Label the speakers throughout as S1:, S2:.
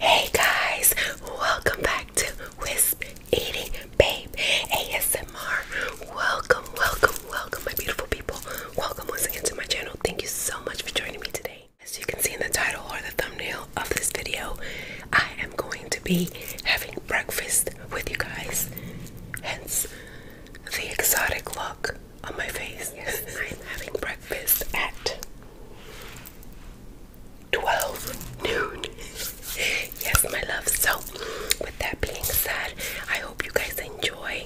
S1: Hey guys, welcome back to Wisp Eating Babe ASMR. Welcome, welcome, welcome, my beautiful people. Welcome once again to my channel. Thank you so much for joining me today. As you can see in the title or the thumbnail of this video, I am going to be having breakfast with you guys. Hence the exotic look on my face. I'm having breakfast at 12 noon. yes, my love. So, with that being said, I hope you guys enjoy.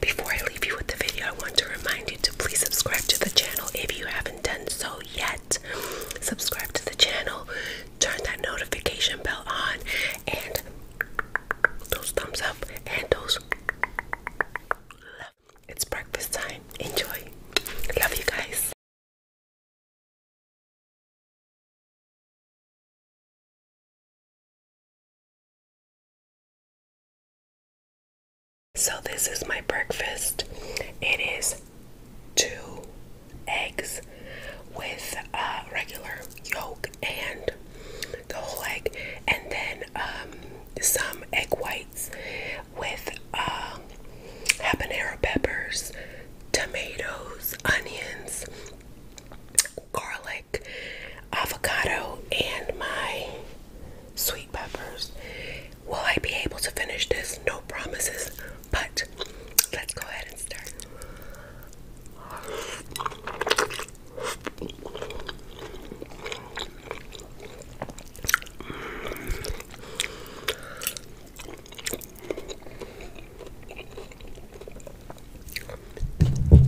S1: Before I leave you with the video, I want to remind you to please subscribe to the channel if you haven't done so yet. Subscribe to the channel, turn that notification bell on, and those thumbs up and those it's breakfast time. Enjoy. Love you guys. So, this is my breakfast. It is two eggs with a uh, regular yolk and the whole egg, and then um, some egg whites with um, habanero peppers, tomatoes, onions, garlic, avocado, and my sweet peppers. Will I be able to finish this? No promises, but let's go ahead and start. Mm.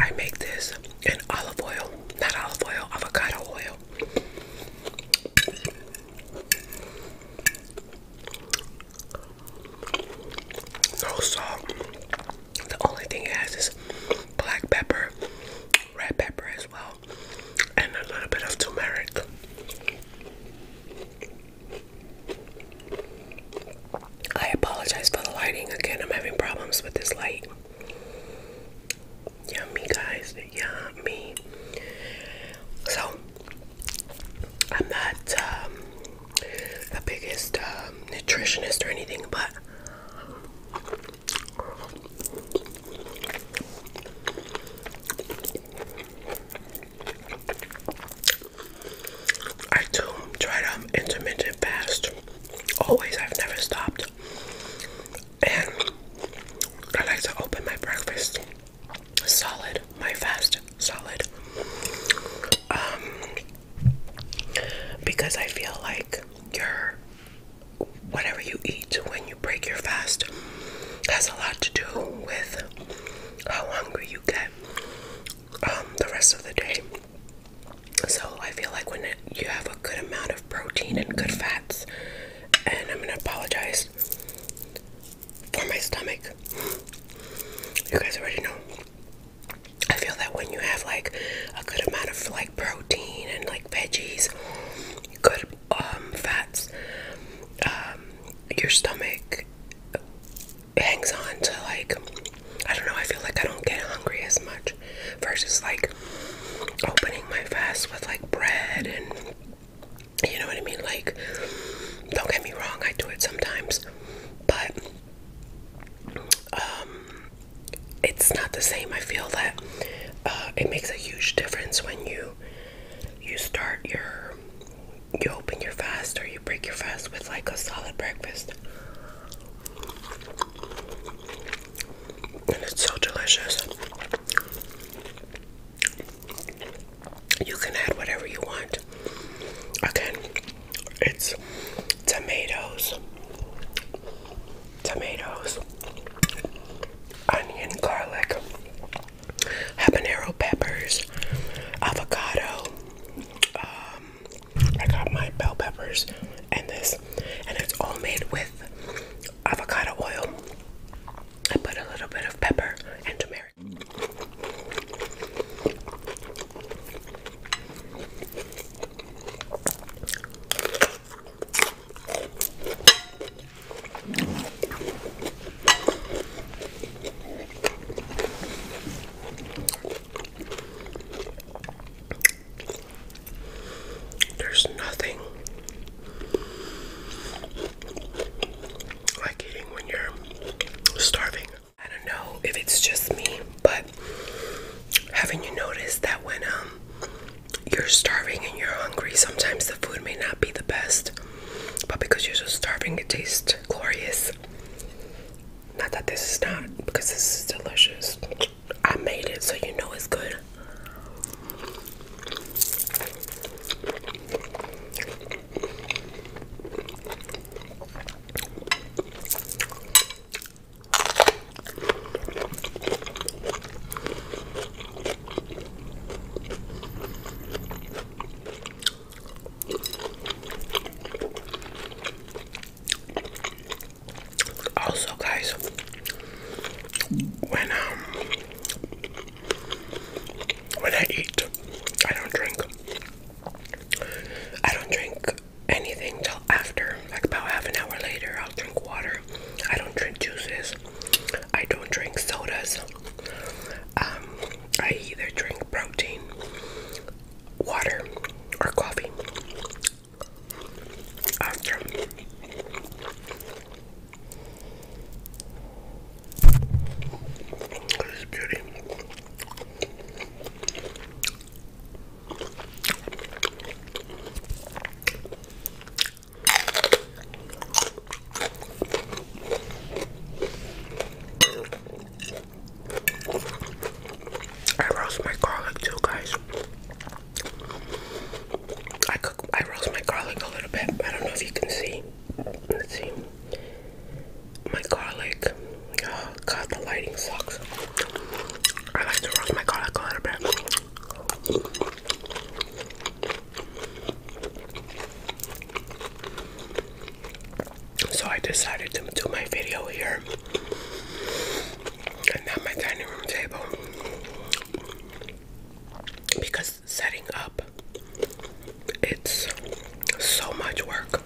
S1: I make this in olive oil, not olive oil, avocado oil. No salt. The only thing it has is black pepper red pepper as well, and a little bit of turmeric. I apologize for the lighting again. I'm having problems with this light. Yummy, guys. Yummy. So, I'm not um, the biggest um, nutritionist or anything, but I do try to intermittent fast. Always, I've never stopped. And I like to open my breakfast solid, my fast solid. Um, because I feel like you're whatever you eat when you break your fast has a lot to do with how hungry you get um, the rest of the day. So I feel like when you have a good amount of protein and good fats, and I'm gonna apologize for my stomach. You guys already know. I feel that when you have like a good amount of like protein and like veggies good um, fats um, your stomach hangs on to like I don't know I feel like I don't get hungry as much versus like opening my fast with like bread and you know what I mean like don't get me wrong I do it sometimes but um, it's not the same. I feel that uh, it makes a huge difference when you you start your you open your fast or you break your fast with like a solid breakfast. And it's so delicious. You can add whatever you want. Okay, it's tomatoes, tomatoes, onion, garlic, habanero peppers, avocado. Um, I got my bell peppers and this, and it's all made with avocado oil. I put a little bit of pepper and turmeric. There's nothing like eating when you're starving. I don't know if it's just me, but haven't you noticed that when um you're starving and you're hungry, sometimes the food may not be the best, but because you're so starving, it tastes glorious. Not that this is not, because this is delicious. I made it, so you know it's good. Also, guys, when um when I eat, I don't drink. I don't drink anything till after, like about half an hour later. I'll drink water. I don't drink juices. I don't drink sodas. Um, I either drink protein, water, or coffee. After. This beauty. I roast my garlic too, guys. I cook, I roast my garlic a little bit. I don't know if you can see. Let's see. My garlic. Oh, God, the lighting sucks. I like to roast my garlic a little bit. So I decided to do my video here and not my dining room table because setting up it's so much work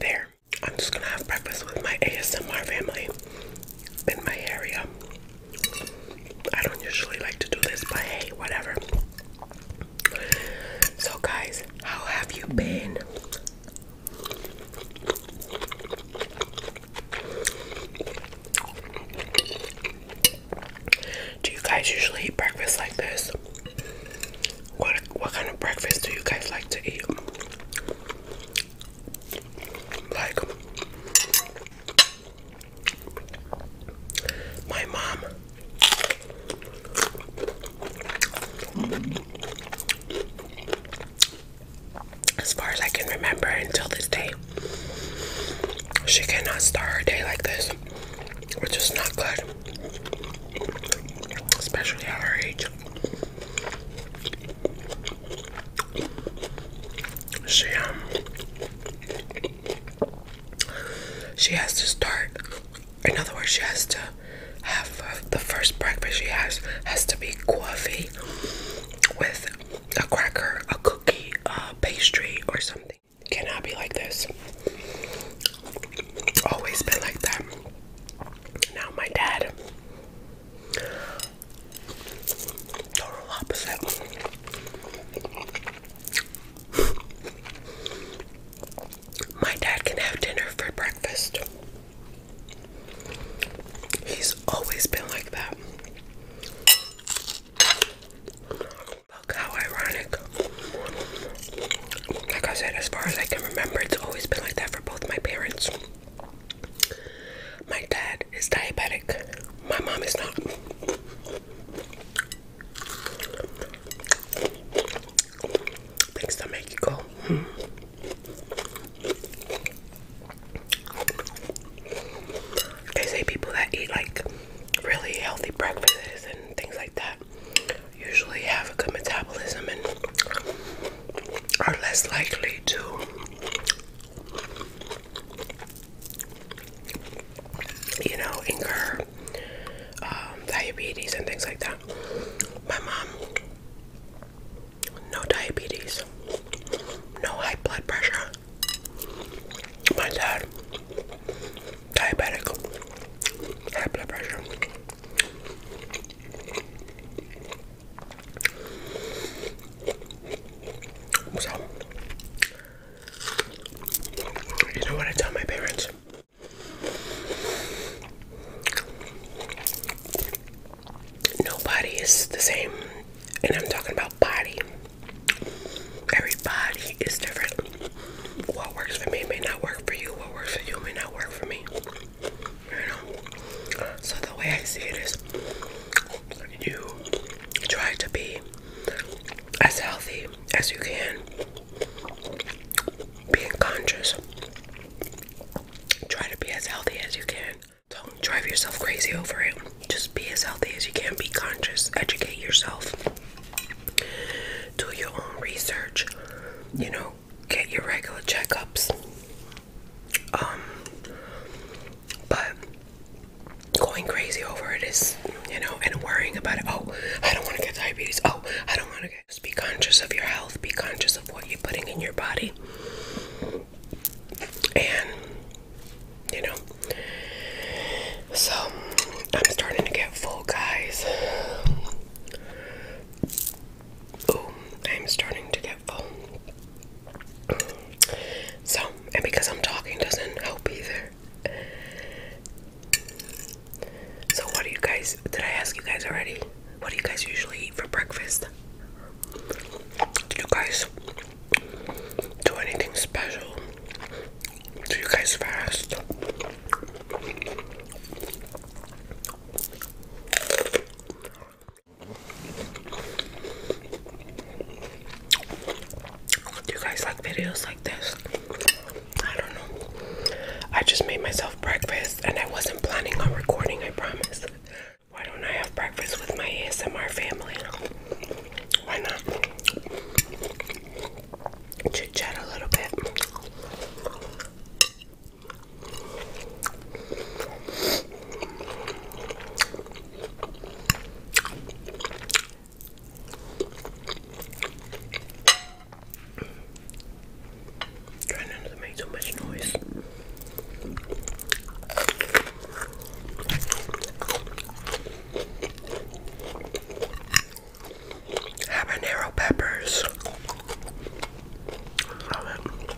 S1: there I'm just gonna have breakfast with my ASMR family in my area. I don't usually like to do this, but hey, whatever. So, guys, how have you been? Do you guys usually eat breakfast like this? What what kind of breakfast do you guys like to eat? Like my mom as far as I can remember until this day. She cannot start her day like this, which is not good, especially at her age. She um she has to start. In other words, she has to have uh, the first breakfast she has has to be quaffy with a cracker, a cookie, a pastry, or something. Cannot be like this. Always been like that. Now my dad Total opposite. My dad can have dinner for breakfast. He's always been like that. Look how ironic. Like I said, as far as I can remember, it's always been like that for both my parents. My dad is diabetic. My mom is not. Things that make They say people that eat like really healthy breakfasts and things like that usually have a good metabolism and are less likely to you know incur um, diabetes and things like that my mom no diabetes no high blood pressure my dad diabetic high blood pressure so, you know what I tell my parents? Nobody is the same, and I'm talking about body. Everybody is different. What works for me may not work for you, what works for you may not work for me. So the way I see it is you try to be as healthy as you can, being conscious. Try to be as healthy as you can. Don't drive yourself crazy over it. Just be as healthy as you can. Be conscious. Educate yourself. Do your own research. You know, get your regular checkups. Um, but going crazy over it is, you know, and worrying about it. Oh, I don't want to get diabetes. Oh, I don't want to get. be conscious of your health. Be conscious of what you're putting in your body. And, you know, so I'm starting to get full, guys. Oh, I'm starting to get full. So, and because I'm talking doesn't help either. So, what do you guys, did I ask you guys already? What do you guys usually eat for breakfast? Do you guys do anything special? Do you guys fast? Do you guys like videos like this? I don't know. I just made myself breakfast and I wasn't planning on recording, I promise. Why don't I have breakfast with my ASMR family? Why not? Chit chat a little bit. Trying not to make too much noise habanero peppers. Love it.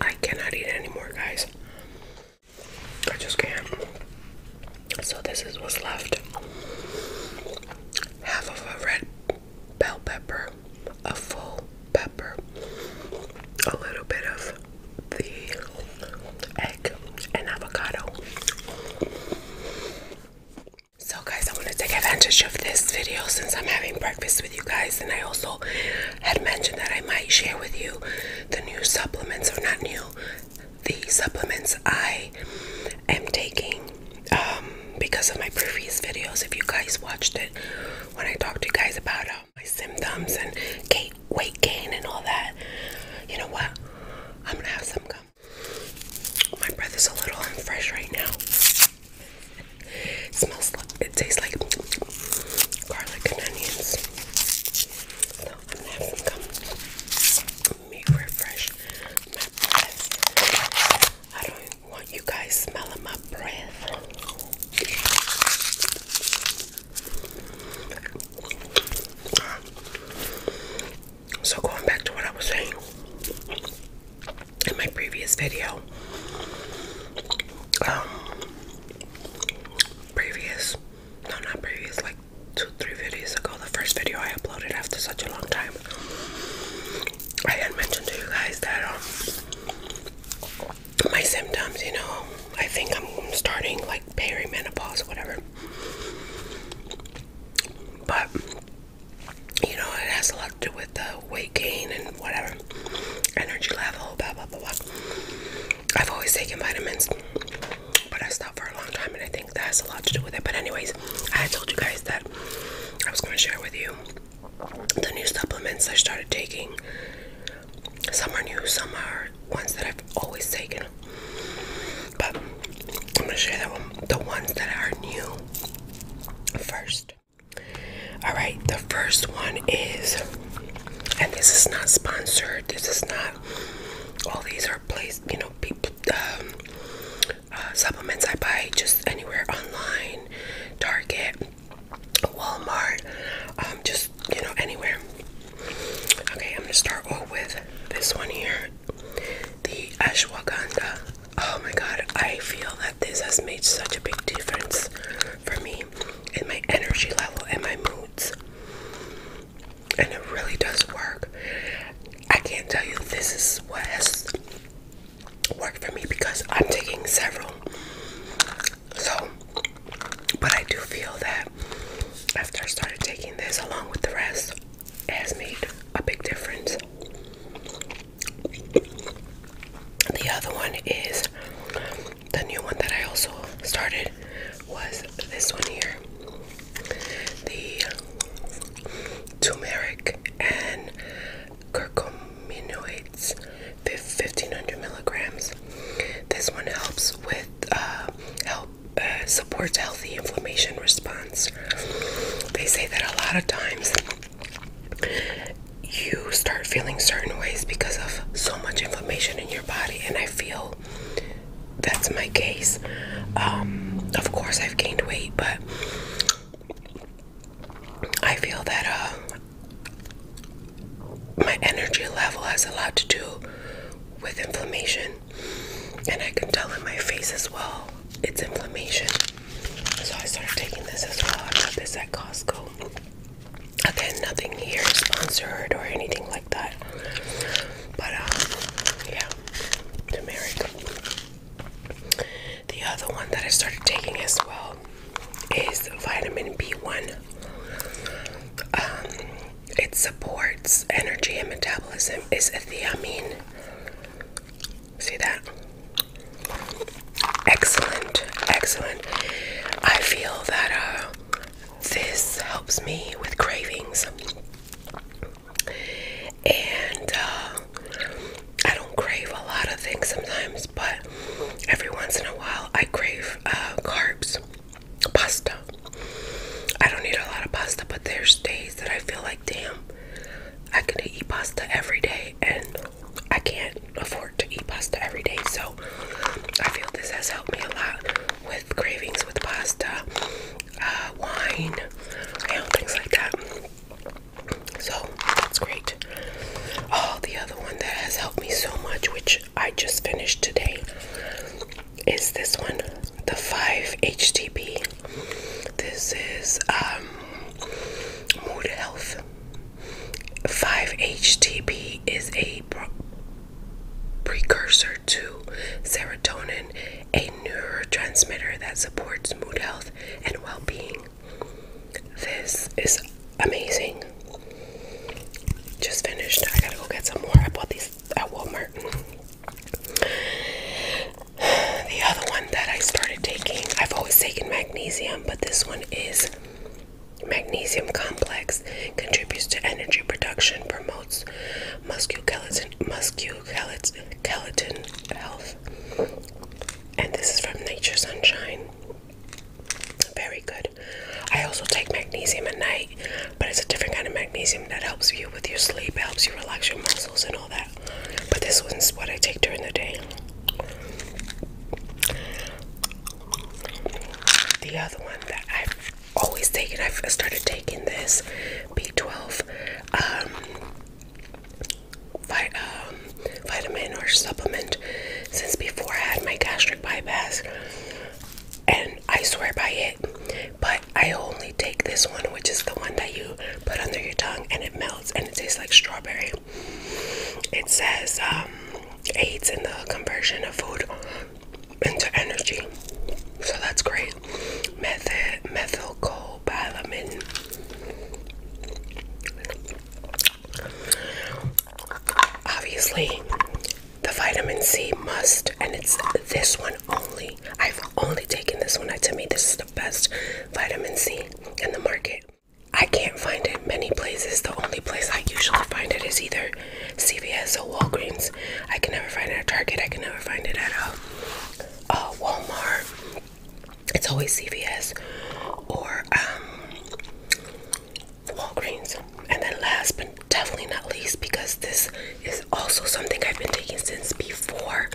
S1: I cannot eat anymore, guys. I just can't. So this is what's left. Half of a red bell pepper, a full pepper, a little bit of the egg and avocado. So guys, I want to take advantage of this video since I'm having breakfast with you guys and I also had mentioned that I might share with you the new supplements or not new the supplements I am taking um, because of my previous videos. If you guys watched it, when I talked to you guys about um, my symptoms and weight gain and all that, you know what? I'm gonna have some gum. My breath is a little unfresh right now. It smells it tastes like garlic and onions. So I'm going gum me refresh my breath. I don't want you guys smelling my breath. So, going back to what I was saying in my previous video, um, previous, no, not previous, like two, three videos ago, the first video I uploaded after such a long time. I had mentioned to you guys that um, my symptoms, you know, I think I'm starting like perimenopause or whatever. But, you know, it has a lot to do with the weight gain and whatever, energy level, blah, blah, blah, I've always taken vitamins, but I stopped for a long time, and I think that has a lot to do with it. But anyways, I had told you guys that I was going to share with you the new supplements I started taking. Some are new, some are ones that I've always taken, but I'm gonna share that one, the ones that are new first. All right, the first one is, and this is not sponsored. This is not. All these are place, you know, um, uh, supplements I buy just anywhere online, Target, Walmart, um, just you know, anywhere. Okay, I'm gonna start off with this one here, the ashwagandha. Oh my god, I feel that this has made such a big difference for me in my energy level and my moods and it really does work. I can't tell you this is what has worked for me because I'm taking several. So, but I do feel that after I started taking this along with the rest, has made a big difference. The other one is the new one that I also started, was this one here the turmeric and curcuminoids 1500 milligrams this one helps with uh, help uh, supports healthy inflammation response they say that a lot of times you start feeling certain ways because of so much inflammation in your body and i feel that's my case. Um, of course, I've gained weight, but I feel that uh, my energy level has a lot to do with inflammation, and I can tell in my face as well it's inflammation. So I started taking this as well. I got this at Costco. Again, nothing here sponsored or anything like that. But, um, yeah, turmeric. The other one that I started taking as well is vitamin B1. Um, it supports energy and metabolism. Is a thiamine. See that? Excellent, excellent. I feel that uh, this helps me with cravings. And uh, I don't crave a lot of things sometimes, but every once in a while I crave uh, carbs, pasta. I don't eat a lot of pasta, but there's days that I feel like, damn, I could eat pasta every day, and I can't afford to eat pasta every day. So I feel this has helped me a lot with cravings with pasta, uh, wine, you things like that. So that's great. Oh, the other one that has helped me so much, which I just finished today, is this one, the 5-HTP. This is um, Mood Health. 5-HTP is a precursor to serotonin, a neurotransmitter that supports mood health and well being. This is amazing. Just finished. I gotta go get some more. I bought these at Walmart. The other one that I started taking, I've always taken magnesium, but this one is Magnesium complex contributes to energy production, promotes musculoskeleton, musculoskeleton health. And this is from Nature Sunshine. Very good. I also take magnesium at night, but it's a different kind of magnesium that helps you with your sleep, helps you relax your muscles and all that. But this one's what I take during the day. The other one that I always taken. I've started taking this B12 um, um, vitamin or supplement since before I had my gastric bypass, and I swear by it. But I only take this one, which is the one that you put under your tongue and it melts and it tastes like strawberry. It says um, aids in the conversion of food into energy. So that's great. Method methylcobalamin. Obviously, the vitamin C must, and it's this one only. I've only taken this one. I tell me, this is the best vitamin C in the market. I can't find it many places. The only place I usually find it is either CVS or Walgreens. I can never find it at Target. I can never find it at uh, uh Walmart. It's always CVS or um, Walgreens. And then last but definitely not least, because this is also something I've been taking since before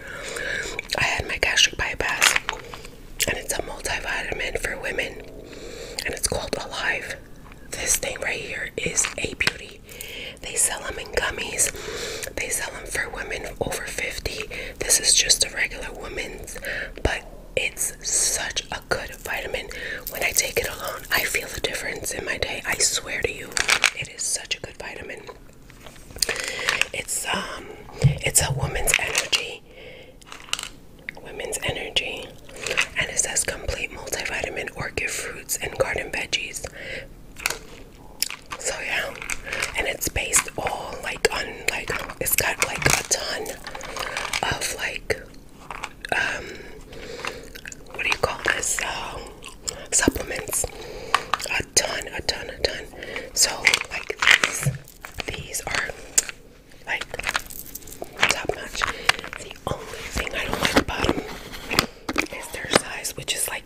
S1: I had my gastric bypass. And it's a multivitamin for women. And it's called Alive this thing right here is a beauty. They sell them in gummies. They sell them for women over 50. This is just a regular woman's, but it's such a good vitamin. When I take it alone, I feel the difference in my day. I swear to you, it is such a good vitamin. It's um it's a woman's energy Women's Energy. And it says complete multivitamin, orchid fruits, and garden veggies. So yeah. And it's based all like on like it's got like a ton of like um what do you call this? Uh, supplements. A ton, a ton, a ton. So like these these are like top notch. The only thing I don't like about them is their size, which is like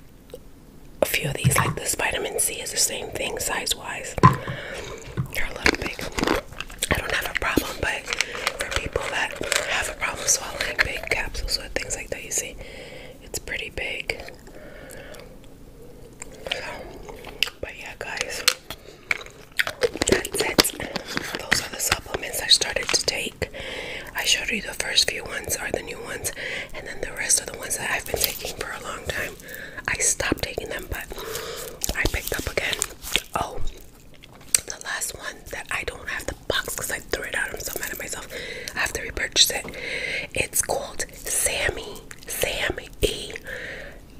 S1: a few of these, like this vitamin C is the same thing size wise. They're a little big. I don't have a problem, but for people that have a problem swallowing big capsules or things like that, you see, it's pretty big. but yeah, guys, that's it. Those are the supplements I started to take. I showed you the first few ones are the new ones, and then the rest are the ones that I've been taking for a long time. I stopped taking them, but I picked up again. Oh, the last one that I don't have the box because I threw it out. I'm so mad at myself. I have to repurchase it. It's called Sammy. Sammy.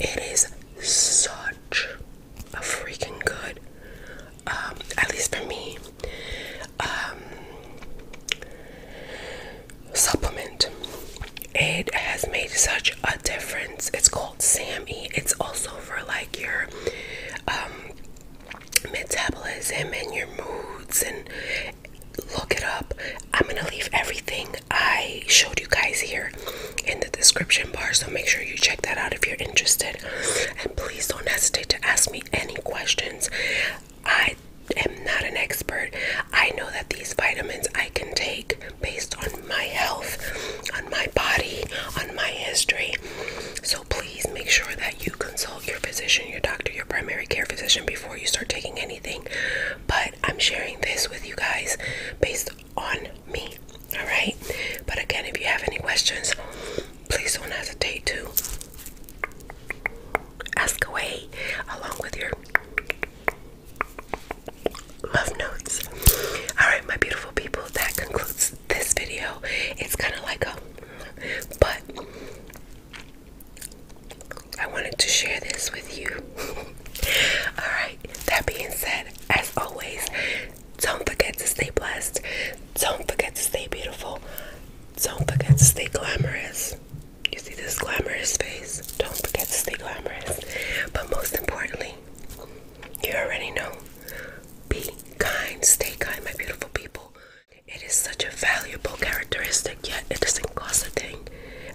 S1: It is such freaking good. Um, at least for me. Um, supplement. It has made such a difference. It's called Sammy. It's also for like your um, metabolism and your moods and look it up. I'm gonna leave everything I showed you guys here in the description bar. So make sure you check that out if you're interested. And please don't hesitate to ask me any questions. I am not an expert. I know that these vitamins I can take based on my health, on my body, on my history. So please make sure that you consult your physician, your doctor, your primary care physician before you start taking anything. But I'm sharing this with you guys based on me. All right. But again, if you have any questions, please don't hesitate to ask away along with your love notes. All right, my beautiful people, that concludes this video. It's kind of like a but I wanted to share this with you. All right that being said, as always, don't forget to stay blessed. Don't forget to stay beautiful. Don't forget to stay glamorous. You see this glamorous face? Don't forget to stay glamorous. But most importantly, you already know be kind, stay kind, my beautiful people. It is such a valuable characteristic, yet it doesn't cost a thing.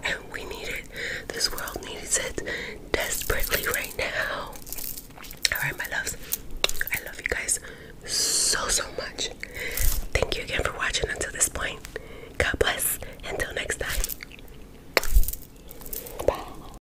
S1: And we need it. This world needs it desperately right now. Alright, my loves. I love you guys so, so much. Thank you again for watching until this point. God bless. Until next time. Bye.